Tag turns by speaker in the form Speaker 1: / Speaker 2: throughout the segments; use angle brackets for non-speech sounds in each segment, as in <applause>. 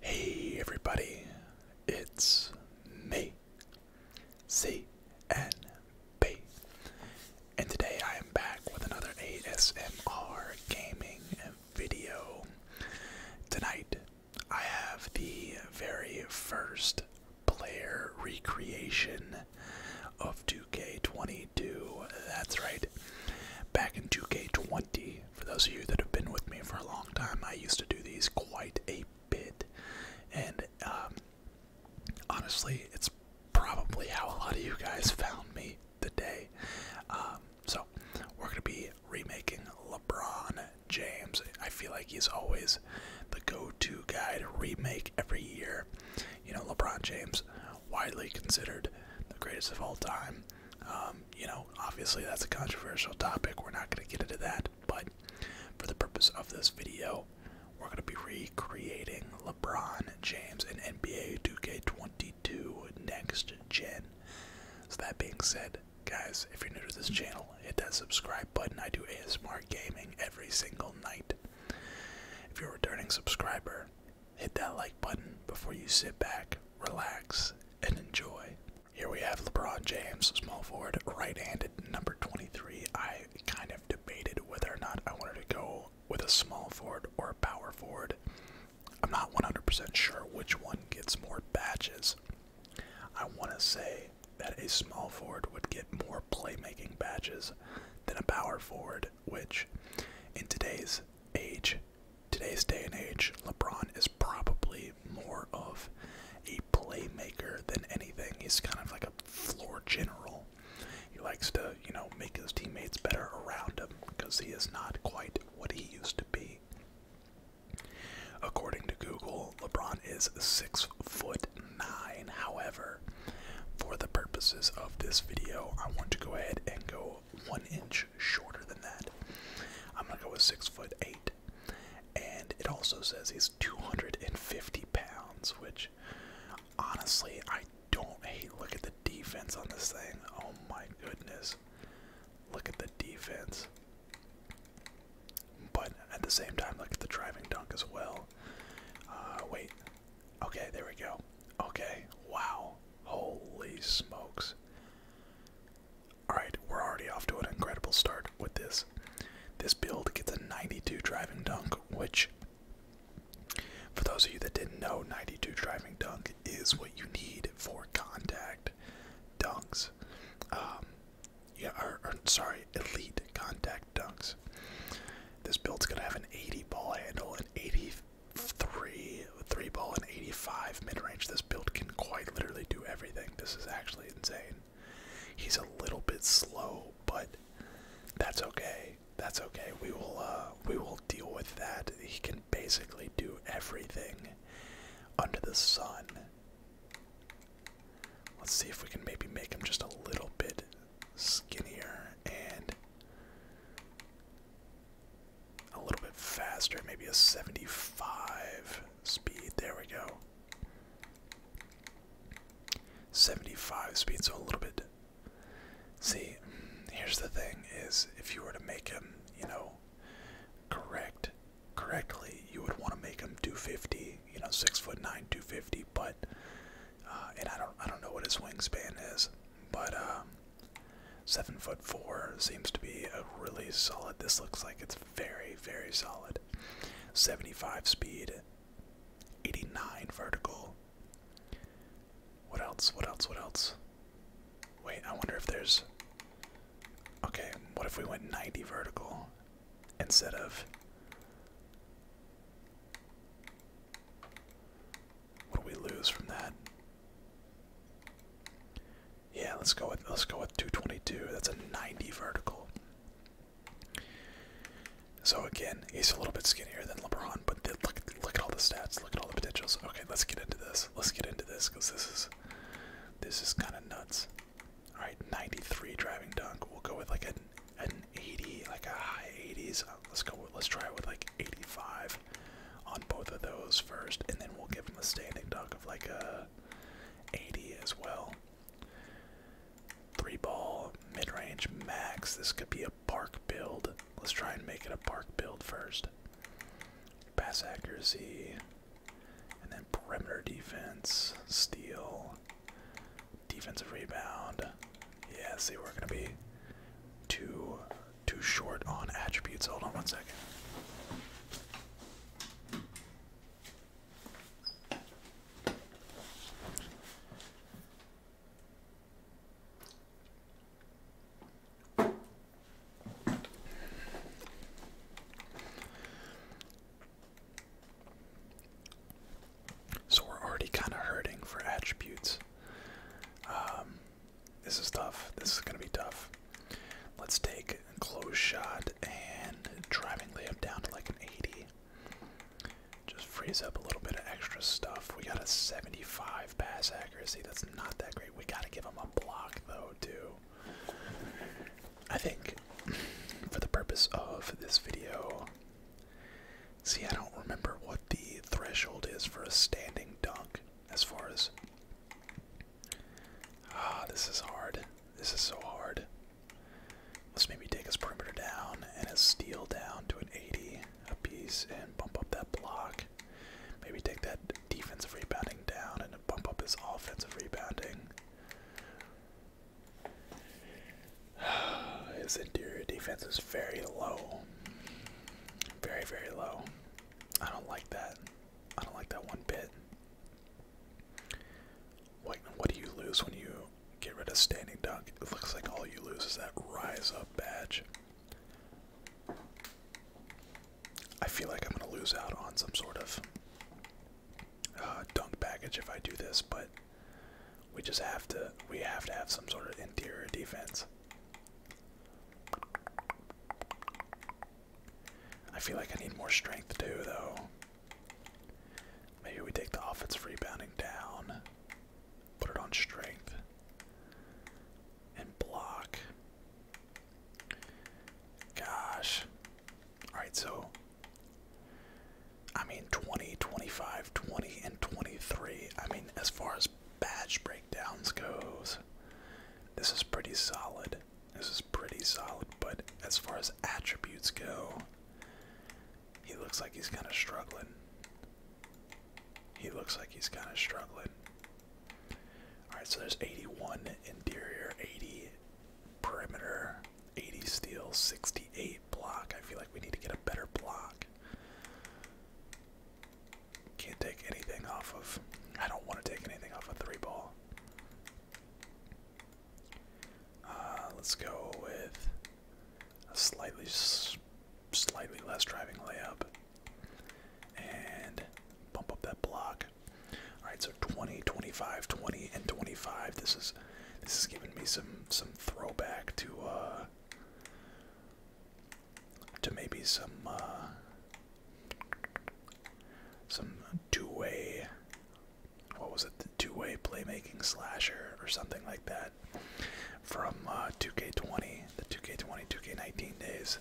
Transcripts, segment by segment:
Speaker 1: Hey everybody, it's me, C N B, and today I am back with another ASMR gaming video. Tonight I have the very first player recreation of 2K22. That's right. Back in 2K20, for those of you that have been with me for a long time, I used to do these quite a bit. And um, honestly, it's probably how a lot of you guys found me today. Um, so, we're going to be remaking LeBron James. I feel like he's always the go-to guy to remake every year. You know, LeBron James, widely considered the greatest of all time. Um, you know, obviously that's a controversial topic. We're not going to get into that, but for the purpose of this video, we're going to be recreating LeBron James in NBA 2K22 next gen. So that being said, guys, if you're new to this channel, Hit that subscribe button. I do ASMR gaming every single night. If you're a returning subscriber, hit that like button before you sit back, relax, and enjoy. Here we have LeBron James, small forward, right-handed, number 23. I kind of debated whether or not I wanted to go with a small forward or a power forward. I'm not 100% sure which one gets more badges. I want to say that a small forward would get more playmaking badges than a power forward, which in today's age, today's day and age, LeBron is probably more of a playmaker than anything. He's kind of like a floor general. He likes to, you know, make his teammates better around him because he is not quite what he used to be. According to Google, LeBron is six foot nine. However, for the purposes of this video, I want to go ahead and go one inch shorter than that. I'm gonna go with six foot eight. And it also says he's 250 pounds, which honestly I don't hate. Look at the defense on this thing. Oh my goodness. Look at the defense. But at the same time, look at the driving dunk as well. Uh, wait. Okay, there we go. Okay, wow. Holy smokes. Alright, we're already off to an incredible start with this. This build gets a 92 driving dunk, which, for those of you that didn't know, 92 driving dunk is what you need for contact dunks. Um, yeah, sorry, elite contact dunks. This build's gonna have an 80 ball handle, an 83 three ball, and 85 mid range. This build can quite literally do everything. This is actually insane. He's a little bit slow, but that's okay. That's okay. We will uh, we will deal with that. He can basically do everything under the sun. Let's see if we can maybe make him just a little bit skinnier and a little bit faster, maybe a 75 speed. There we go. 75 speed, so a little bit. See, here's the thing is if you were to make him, you know, correct correctly, you would want to make him 250. You know, six foot nine, 250. But uh, and I don't, I don't know what his wingspan is, but um, seven foot four seems to be a really solid. This looks like it's very, very solid. 75 speed, 89 vertical. What else? What else? What else? Wait, I wonder if there's. Okay, what if we went 90 vertical instead of what do we lose from that? Yeah, let's go with let's go with 222. That's a 90 vertical. So again, he's a little bit skinnier than LeBron, but look at all the stats. Look at all the potentials. Okay, let's get into this. Let's get into this because this is this is kind of nuts. All right, 93 driving dunk. We'll go with like an an 80, like a high 80s. Uh, let's go. let's try it with like 85 on both of those first, and then we'll give him a standing dunk of like a 80 as well. Three ball, mid range, max. This could be a park build. Let's try and make it a park build first. Pass accuracy. And then perimeter defense, steal, defensive rebound. Yeah, see, we're gonna be too too short on attributes. Hold on one second. So we're already kind of hurting for attributes. Um, this is tough. This is going to be tough. Let's take a close shot and driving layup down to like an 80. Just frees up a little bit of extra stuff. We got a 75 pass accuracy. That's not that great. We got to give him a block though, too. I think for the purpose of this video, see, I don't remember what the threshold is for a standing dunk as far as. Ah, this is hard. This is so hard. Let's maybe take his perimeter down and his steal down to an 80 a piece, and bump up that block. Maybe take that defensive rebounding down and to up his offensive rebounding. <sighs> His interior defense is very low. Very, very low. I don't like that. I don't like that one bit. What, what do you lose when you get rid of standing dunk? It looks like all you lose is that rise up badge. I feel like I'm going to lose out on some sort of uh, dunk package if I do this, but we just have to we have to have some sort of interior defense. I feel like I need more strength too, though. Maybe we take the offensive rebounding down, put it on strength, and block. Gosh. Alright, so. I mean, 20, 25, 20, and 23. I mean, as far as batch breakdowns goes, this is pretty solid. This is pretty solid, but as far as attributes go, he looks like he's kind of struggling. He looks like he's kind of struggling. All right, so there's 81 interior, 80 perimeter, 80 steel, 68 block. I feel like we need to get a better block. Can't take anything off of. I don't want to take anything off a of three ball. Uh, let's go with a slightly, slightly less driving layup, and bump up that block. All right, so 20, 25, 20, and 25. This is this is giving me some some throwback to uh to maybe some uh some two-way what was it two-way playmaking slasher or something like that from 2K20 uh, the 2K20 2K19 days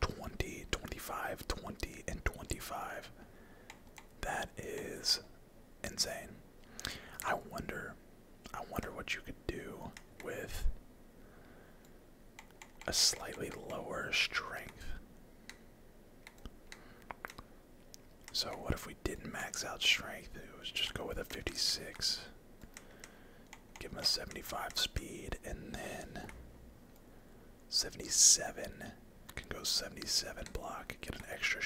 Speaker 1: 20, 25, 20, and 25. That is insane. I wonder I wonder what you could do with a slightly lower strength. So what if we didn't max out strength? It was just go with a 56. Give him a 75 speed and then 77. Can go 77 block. Get an extra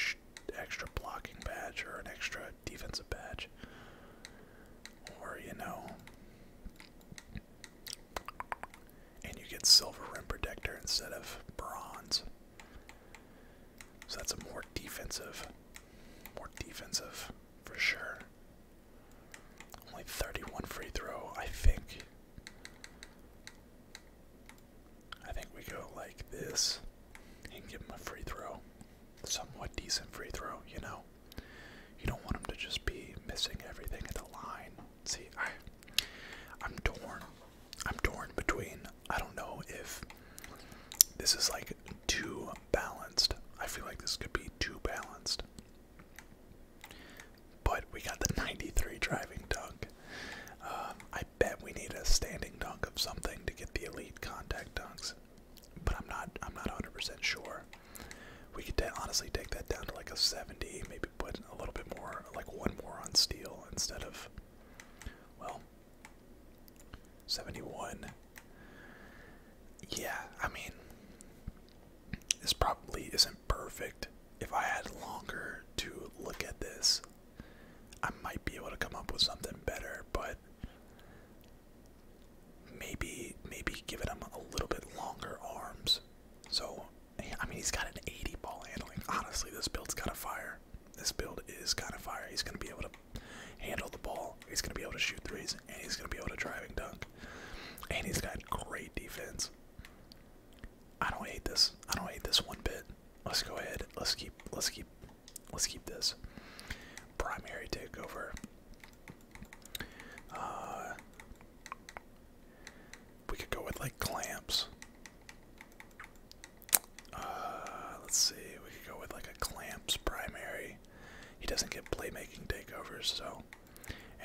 Speaker 1: extra blocking badge or an extra defensive badge. Or, you know. And you get silver rim protector instead of bronze. So that's a more defensive. More defensive for sure. Only 31 free throw, I think. I think we go like this and give him a free throw. Somewhat decent free throw, you know. You don't want him to just be missing everything at the line. See, I I'm torn. I'm torn between I don't know if this is like too balanced. I feel like this could be too balanced. But we got the 93 driving dunk. Um, I bet we need a standing dunk of something to get the elite contact dunks, but I'm not I'm not 100% sure. We could honestly take that down to like a 70, maybe put a little bit more, like one more on steel instead of, well, 71. Yeah, I mean, this probably isn't perfect. If I had longer to look at this, I might be able to come up with something better, but maybe maybe give him a little bit longer arms. So, I mean, he's got an 80 ball handling. Honestly, this build's got to fire. This build is kind of fire. He's going to be able to handle the ball. He's going to be able to shoot threes, and he's going to be able to driving dunk back. And he's got great defense. I don't hate this. I don't hate this one bit. Let's go ahead. Let's keep let's keep let's keep this. Primary takeover. Uh, we could go with like clamps. Uh, let's see, we could go with like a clamps primary he doesn't get playmaking takeovers, so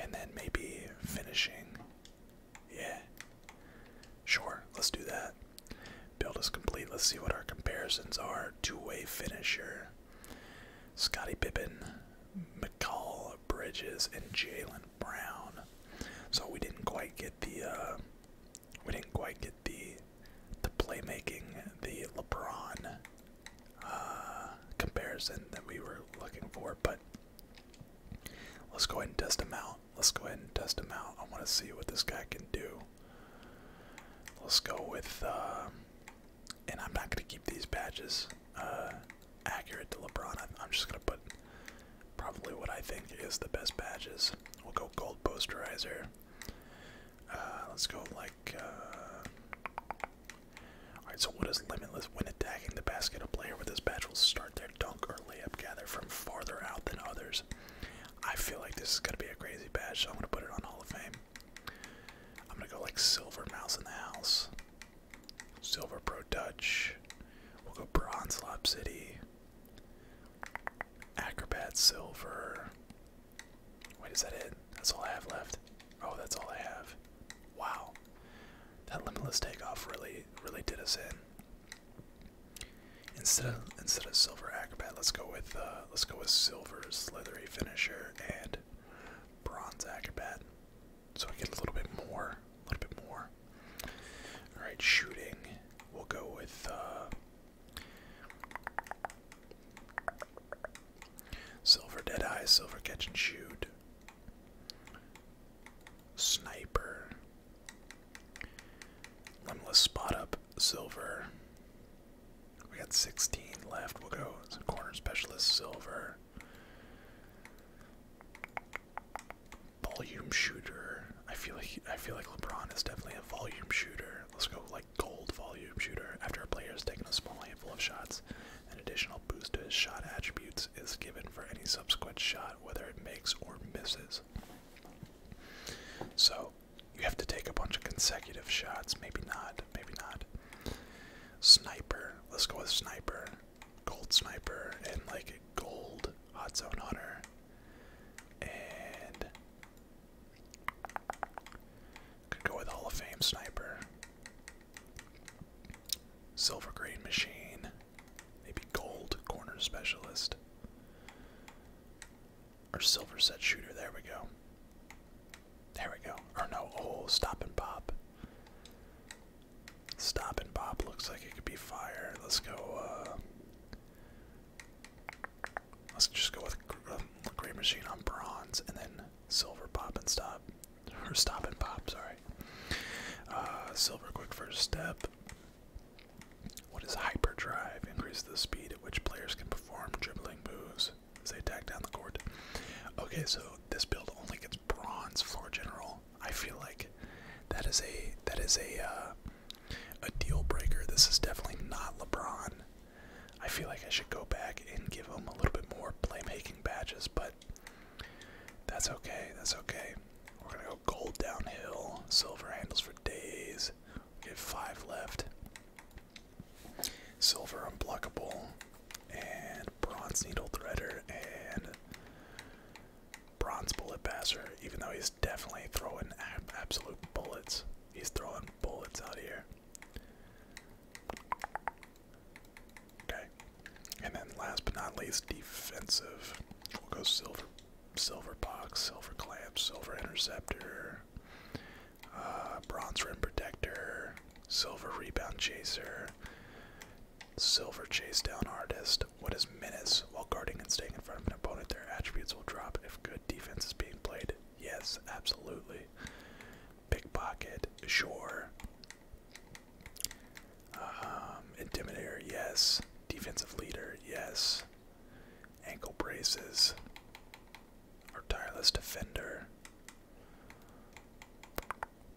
Speaker 1: and then maybe finishing. Yeah. Sure, let's do that. Build is complete. Let's see what our comparisons are. Two-way finisher. Scotty Pippen, McCall Bridges, and Jalen Brown. So we didn't quite get the uh, we didn't quite get the the playmaking, the LeBron uh, comparison that we were looking for, but let's go ahead and test him out. Let's go ahead and test him out. I want to see what this guy can do. Let's go with, uh, and I'm not going to keep these badges uh, accurate to LeBron. I'm just going to put probably what I think is the best badges. We'll go gold posterizer. Uh, let's go like. Uh, Alright, so what is Limitless when attacking the basket? A player with this badge will start their dunk or layup gather from farther out than others. I feel like this is going to be a crazy badge, so I'm going to put it on Hall of Fame. I'm going to go like Silver Mouse in the House, Silver Pro Dutch. We'll go Bronze Lob City, Acrobat Silver. Wait, is that it? That's all I have left. Oh, that's all I have. Wow. That limitless takeoff really, really did us in. Instead of instead of silver acrobat, let's go with uh, let's go with silver slithery finisher and bronze acrobat, so we get a little bit more, a little bit more. All right, shooting. We'll go with. Uh, Silver Deadeye, Silver Catch and Shoot, Sniper, Limbless Spot Up, Silver. We got 16 left. We'll go Corner Specialist, Silver, Volume Shooter. I feel like I feel like LeBron is definitely a volume shooter. Let's go like gold volume shooter. After a player has taken a small handful of shots, an additional boost to his shot attributes is given for any subsequent shot, whether it makes or misses. So you have to take a bunch of consecutive shots. Maybe not. Maybe not. Sniper. Let's go with sniper. Gold sniper and like gold hot zone hunter. And could go with Hall of Fame Sniper. Silver Grade Machine. Maybe Gold Corner Specialist. Or Silver Set Shooter. There we go. There we go. Or no, oh, Stop and Pop. Stop and Pop looks like it could be fire. Let's go, uh. Let's just go with um, uh, Great Machine on bronze and then silver pop and stop. Or stop and pop, sorry. Uh, silver quick first step. What is hyperdrive? Increase the speed at which players can perform dribbling moves as they attack down the court. Okay, so this build only gets bronze floor general. I feel like that is a that is a uh, a deal breaker. This is definitely not LeBron. I feel like I should go back and give him a little bit more playmaking badges, but that's okay. That's okay. We're gonna go gold downhill, silver handles for days. We have five left. Silver unblockable, and bronze needle threader, and bronze bullet passer. Even though he's definitely throwing absolute bullets, he's throwing bullets out here. Okay. And then last but not least, defensive. We'll go silver silver box, silver clamp, silver interceptor, uh, bronze rim protector, silver rebound chaser, silver chase down artist. What is menace? While guarding and staying in front of an opponent, their attributes will drop if good defense is being played. Yes, absolutely. Pickpocket, sure. Um, Intimidator, yes. Defensive leader, yes. Ankle braces. Our tireless defender.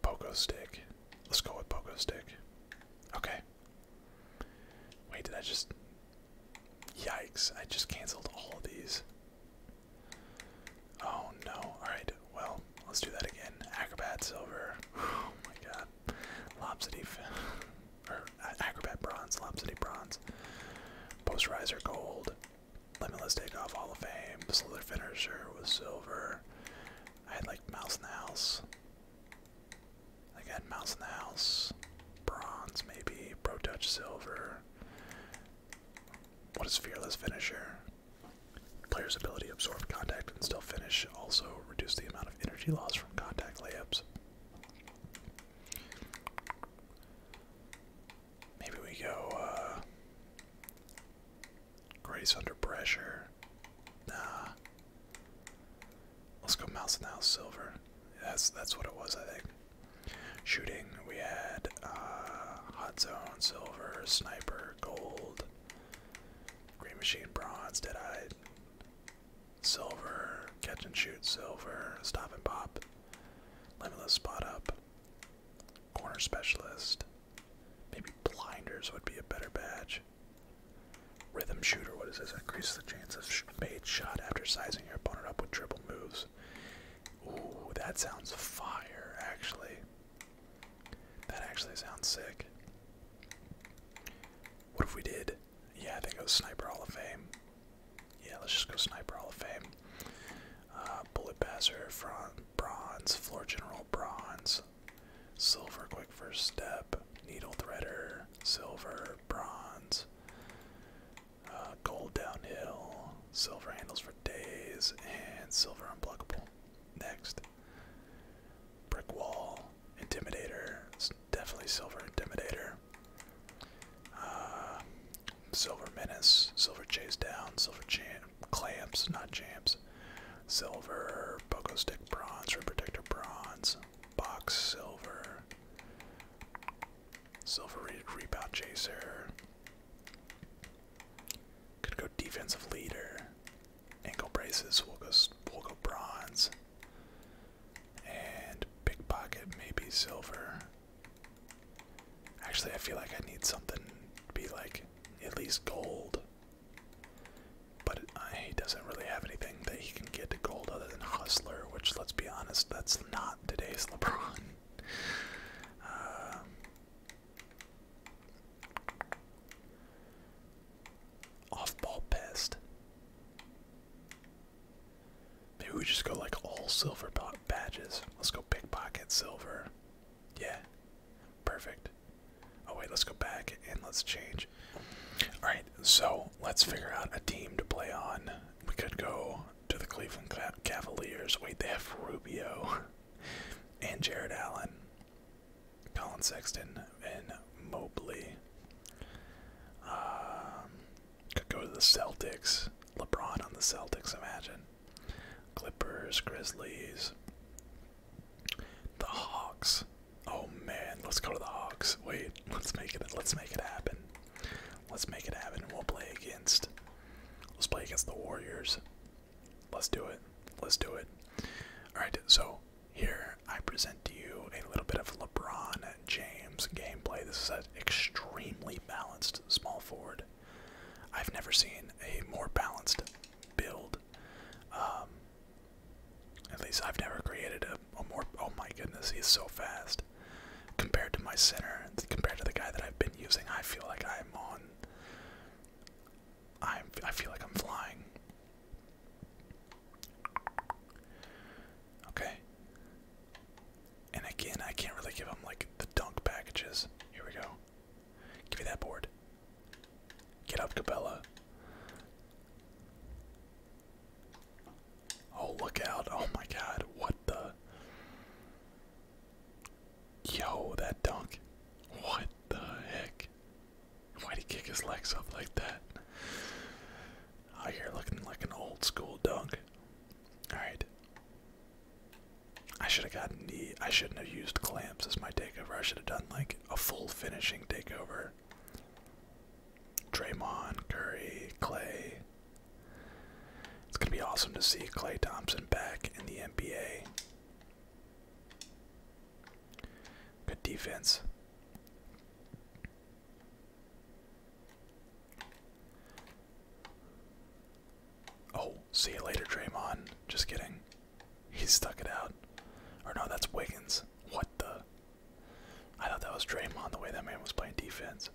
Speaker 1: Pogo stick. Let's go with Pogo stick. Okay. Wait, did I just Yikes, I just canceled all of these. Oh no, alright, well, let's do that again. Acrobat silver. Oh my god. Lopsity, or uh, acrobat bronze, lopsity bronze. Posterizer gold. Limitless takeoff hall of fame. Slither finisher with silver. I had like mouse in the house. I got mouse in the house. Bronze maybe. Pro touch silver. What is fearless finisher? Player's ability absorb contact and still finish. Also reduce the amount of energy loss from contact layups. Maybe we go uh, Grace under pressure. Nah. Let's go mouse and house silver. That's that's what it was, I think. Shooting, we had uh, Hot Zone, Silver, Sniper, Gold, Green Machine, Bronze, Deadeye, Silver, Catch and Shoot, Silver, Stop and Pop, Limitless Spot Up, Corner Specialist, maybe Blinders would be a better badge. Rhythm Shooter, what is this? Increase the chance of made shot after sizing your opponent up with trip moves. Ooh, that sounds fire, actually. That actually sounds sick. What if we did? Yeah, I think it was Sniper Hall of Fame. Yeah, let's just go Sniper Hall of Fame. Uh, bullet Passer, front, Bronze, Floor General, Bronze, Silver, Quick First Step, Needle Threader, Silver, Bronze, uh, gold downhill, silver handles for days, and silver unblockable. Next. Brick wall, intimidator. It's definitely silver intimidator. Uh, silver menace, silver chase down, silver champ, clamps, not jams. Silver, pogo stick bronze, protector bronze, box silver. Silver rebound chaser. Could go defensive leader. Ankle braces. We'll go. will go bronze. And pickpocket. Maybe silver. Actually, I feel like I need something to be like at least gold. But it, uh, he doesn't really have anything that he can get to gold other than Hustler, which, let's be honest, that's not today's LeBron. Um, off ball pest. Maybe we just go like all silver badges. Let's go pickpocket silver. Yeah, perfect. Oh, wait, let's go back and let's change. Alright, so let's figure out a team to play on. We could go to the Cleveland Cavaliers. Wait, they have Rubio <laughs> and Jared Allen, Colin Sexton, and Mobley. Um, could go to the Celtics. LeBron on the Celtics, imagine. Clippers, Grizzlies, the Hawks. Oh man, let's go to the Hawks. Wait, <laughs> let's make it. Let's make it happen. Let's make it happen. We'll play against. Let's play against the Warriors. Let's do it. Let's do it. Alright, so here I present to you a little bit of LeBron James gameplay. This is an extremely balanced small forward. I've never seen a more balanced build. Um, at least I've never created a Oh, oh my goodness, he's so fast compared to my center. Compared to the guy that I've been using, I feel like I'm on. I I feel like I'm flying. Okay. And again, I can't really give him like the dunk packages. Here we go. Give me that board. Get up, Cabela. Oh, look out. Oh my god. What the? Yo, that dunk. What the heck? Why'd he kick his legs up like that? Out here looking like an old school dunk. Alright. I should have gotten the. I shouldn't have used clamps as my takeover. I should have done like a full finishing takeover. Draymond, Curry, Clay. It's going to be awesome to see Clay Thompson back in the NBA. Good defense. Oh, see you later, Draymond. Just kidding. He stuck it out. Or no, that's Wiggins. What the? I thought that was Draymond the way that man was playing defense.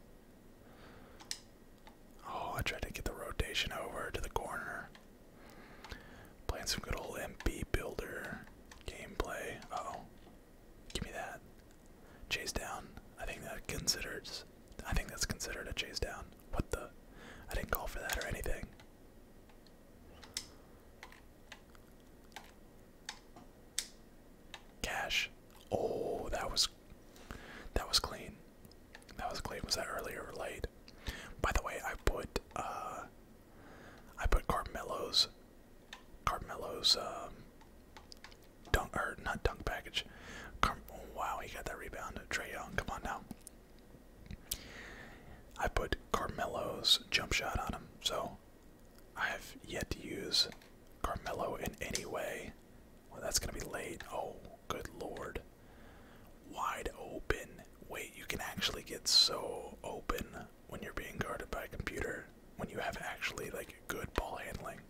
Speaker 1: Oh, I tried to get the rotation over to the corner. Playing some good old MP builder gameplay. Uh oh. Give me that. Chase down. I think that considered. I think that's considered a chase down. What the I didn't call for that or anything. Cash. Oh, that was that was clean. That was clean. Was that earlier or late? By the way, I put uh I put Carmelo's Carmelo's um dunk or not dunk package. Oh, wow, he got that rebound. Trey Young, come on now. I put Carmelo's jump shot on him, so I've yet to use Carmelo in any way. Well, that's going to be late. Oh, good lord. Wide open. Wait, you can actually get so open when you're being guarded by a computer, when you have actually like good ball handling.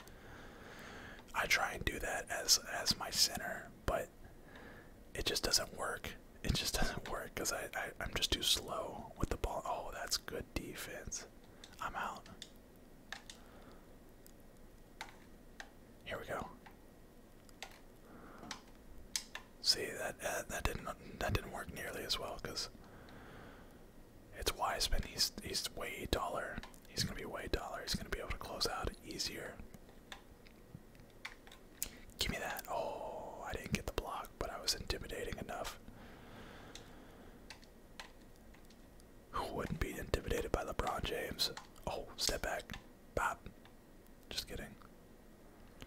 Speaker 1: I try and do that as as my center, but it just doesn't work. It just <laughs> doesn't work because I, I I'm just too slow with the ball. Oh, that's good defense. I'm out. Here we go. See that that didn't that didn't work nearly as well because it's Wiseman. He's he's way taller. He's gonna be way taller. He's gonna be able to close out easier. Give me that. Oh, I didn't get the block, but I was intimidating enough. Who wouldn't be intimidated by LeBron James? Oh, step back. Bob. Just kidding.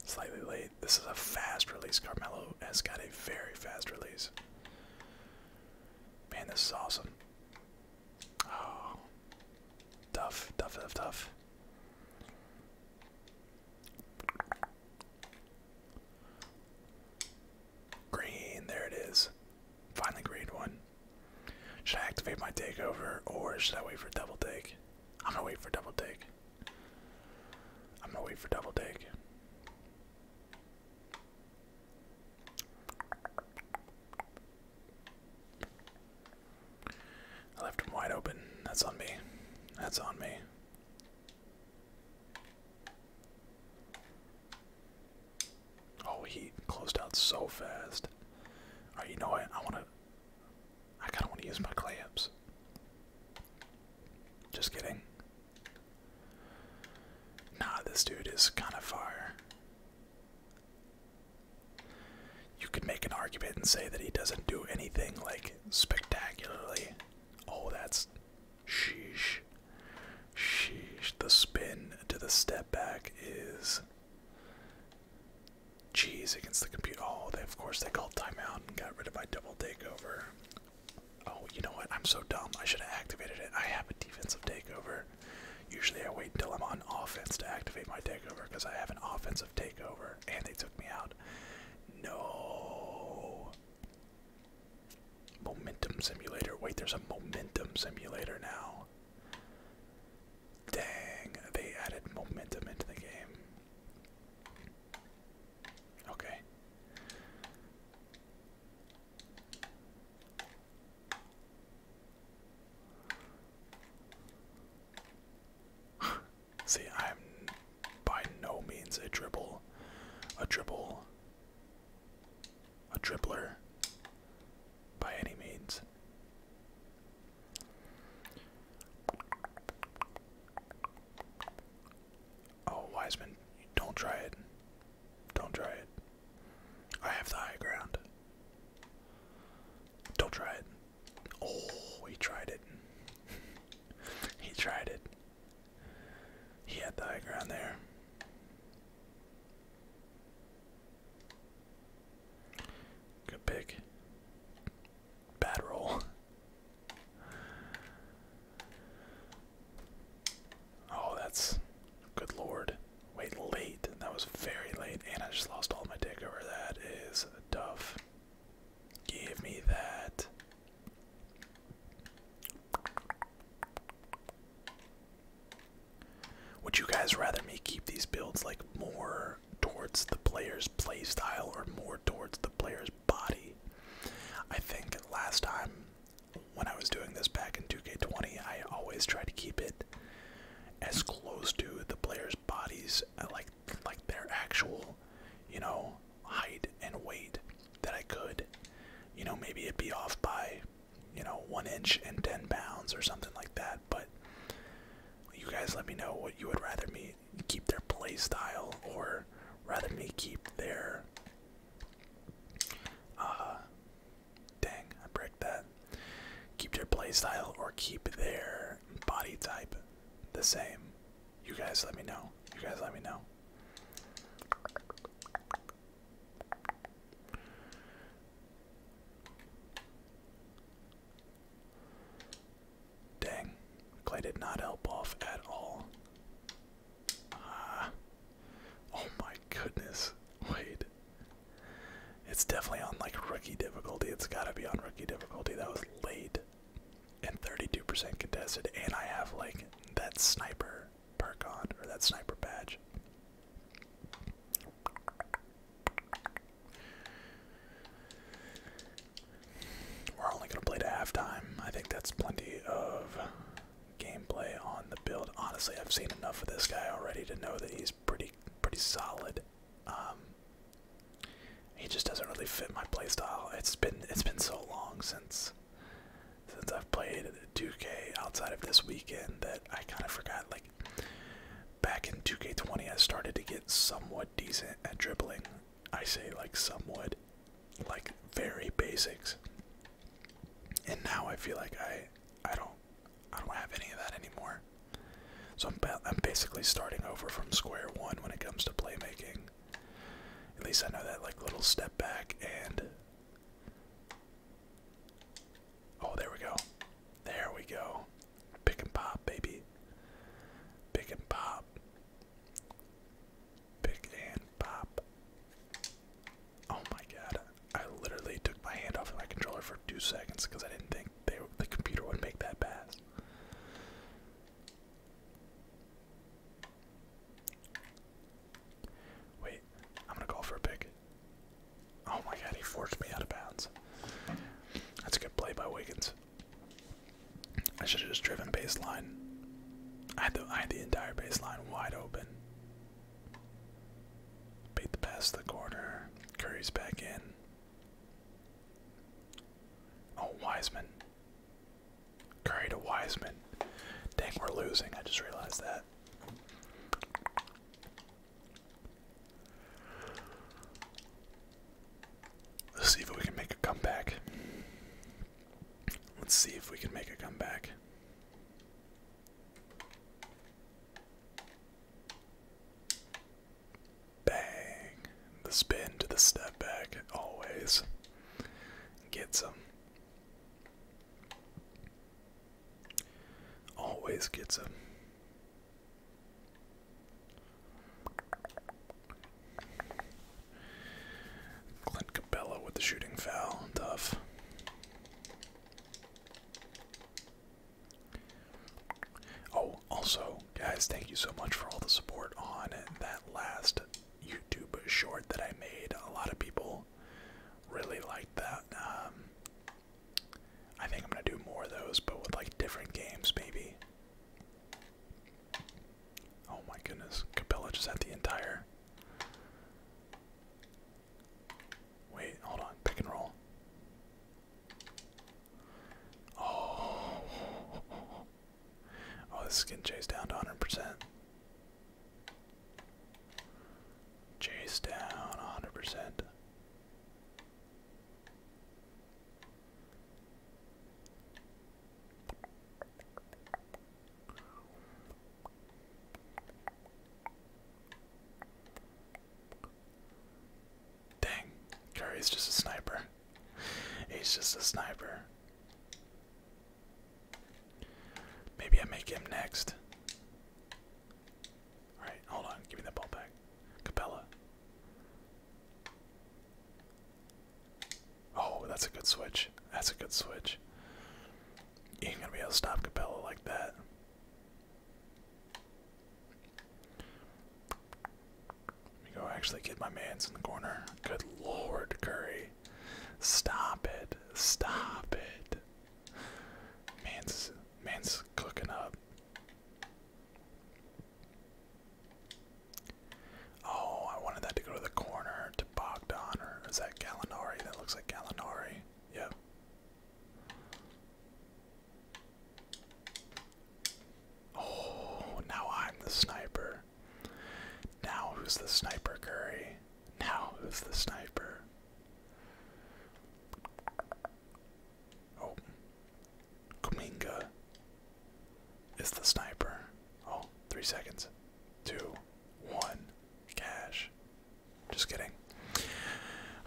Speaker 1: Slightly late. This is a fast release. Carmelo has got a very fast release. Man, this is awesome. Oh. Tough, tough, tough, tough. Green, there it is. Finally green one. Should I activate my takeover or should I wait for double take? I'm gonna wait for double take. I'm gonna wait for double take. I left him wide open. That's on me. That's on me. Oh, he closed out so fast. Alright, you know what? I wanna I kinda wanna use my clamps. Just kidding. Nah, this dude is kinda far. You could make an argument and say that he doesn't do anything like spectacularly Oh, that's sheesh. Sheesh. The spin to the step back is. Jeez, against the computer. Oh, they, of course, they called timeout and got rid of my double takeover. Oh, you know what? I'm so dumb. I should have activated it. I have a defensive takeover. Usually, I wait until I'm on offense to activate my takeover because I have an offensive takeover and they took me out. No. Momentum simulator. Wait, there's a momentum simulator now. Dang, they added momentum into the game. Okay. See, I'm by no means a dribble, a dribble, a dribbler by any means. Oh, man, don't try it. Don't try it. I have the high ground. Don't try it. Oh, he tried it. <laughs> he tried it. He had the high ground there. Good pick. Bad roll. <laughs> Oh, that's good lord. Wait, late. That was very late, and I just lost all my dick over that. Is tough. Give me that. Would you guys rather me keep these builds like more towards the player's playstyle or more towards the player's body? I think last time when I was doing this back in 2K20, I always tried to keep it as close to the player's bodies, uh, like like their actual, you know, height and weight that I could. You know, maybe it'd be off by, you know, one inch and ten pounds or something like that. But you guys let me know what you would rather me keep their play style or rather me keep their uh dang, I break that. Keep their play style or keep their body type the same. You guys let me know. You guys let me know. Dang, Clay did not help off at all. Ah, oh my goodness! Wait, it's definitely on like rookie difficulty. It's gotta be on rookie difficulty. That was late and 32% contested, and I have like that sniper perk on or that sniper badge. We're only gonna play to halftime. I think that's plenty of gameplay on the build. Honestly, I've seen enough of this guy already to know that he's pretty pretty solid um, he just doesn't really fit my playstyle. It's been it's been so long since since I've played 2K outside of this weekend that I kind of forgot. Like back in 2K20, I started to get somewhat decent at dribbling. I say like somewhat, like very basics. And now I feel like I I don't I don't have any of that anymore. So I'm, basically starting over from square one when it comes to playmaking. At least I know that like little step back and oh, there we go, there we go, pick and pop, baby, pick and pop, pick and pop. Oh my god, I literally took my hand off of my controller for two seconds because I didn't think they, the computer would make that pass. Wait, I'm gonna call for a pick. Oh my god, he forced me out of bounds. That's a good play by Wiggins. I should have just driven baseline. I had the I had the entire baseline wide open. Beat the pass the corner. Curry's back in. Oh, Wiseman. Curry to Wiseman. Dang, we're losing. I just realized that. Let's see if we can make a comeback. Let's see if we can make a comeback. Bang. The spin to the step back always gets him. Always gets him. Clint Capella with the shooting foul. Tough. Oh, also, guys, thank you so much for all the support on that last YouTube short that I made. A lot of people really liked that. Um, I think I'm gonna do more of those, but with like different games, maybe. Oh my goodness, Capella just had the entire. Wait, hold on, pick and roll. Oh, oh this is getting chased down to 100%. Chase down 100%. Dang, Curry's just a sniper. He's just a sniper. Maybe I make him next. Alright, hold on, give me that ball back. Capella. Oh, that's a good switch. That's a good switch. You ain't gonna be able to stop Capella like that. Let me go actually get my man's in the corner. Good lord, Curry. Stop it. Stop it. Man's man's cooking up. Oh, I wanted that to go to the corner to Bogdan or is that Gallinari? That looks like Gallinari. Yep. Oh, now I'm the sniper. Now who's the sniper, Curry? Now who's the sniper? Oh, Kuminga is the sniper. Oh, three seconds. Two, one, cash. Just kidding.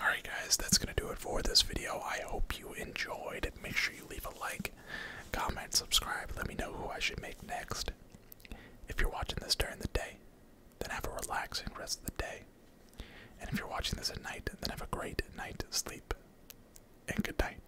Speaker 1: Alright, guys, that's going to do it for this video. I hope you enjoyed. Make sure you leave a like, comment, subscribe. Let me know who I should make next. If you're watching this during the day, then have a relaxing rest of the day. And if you're watching this at night, then have a great night sleep. And good night.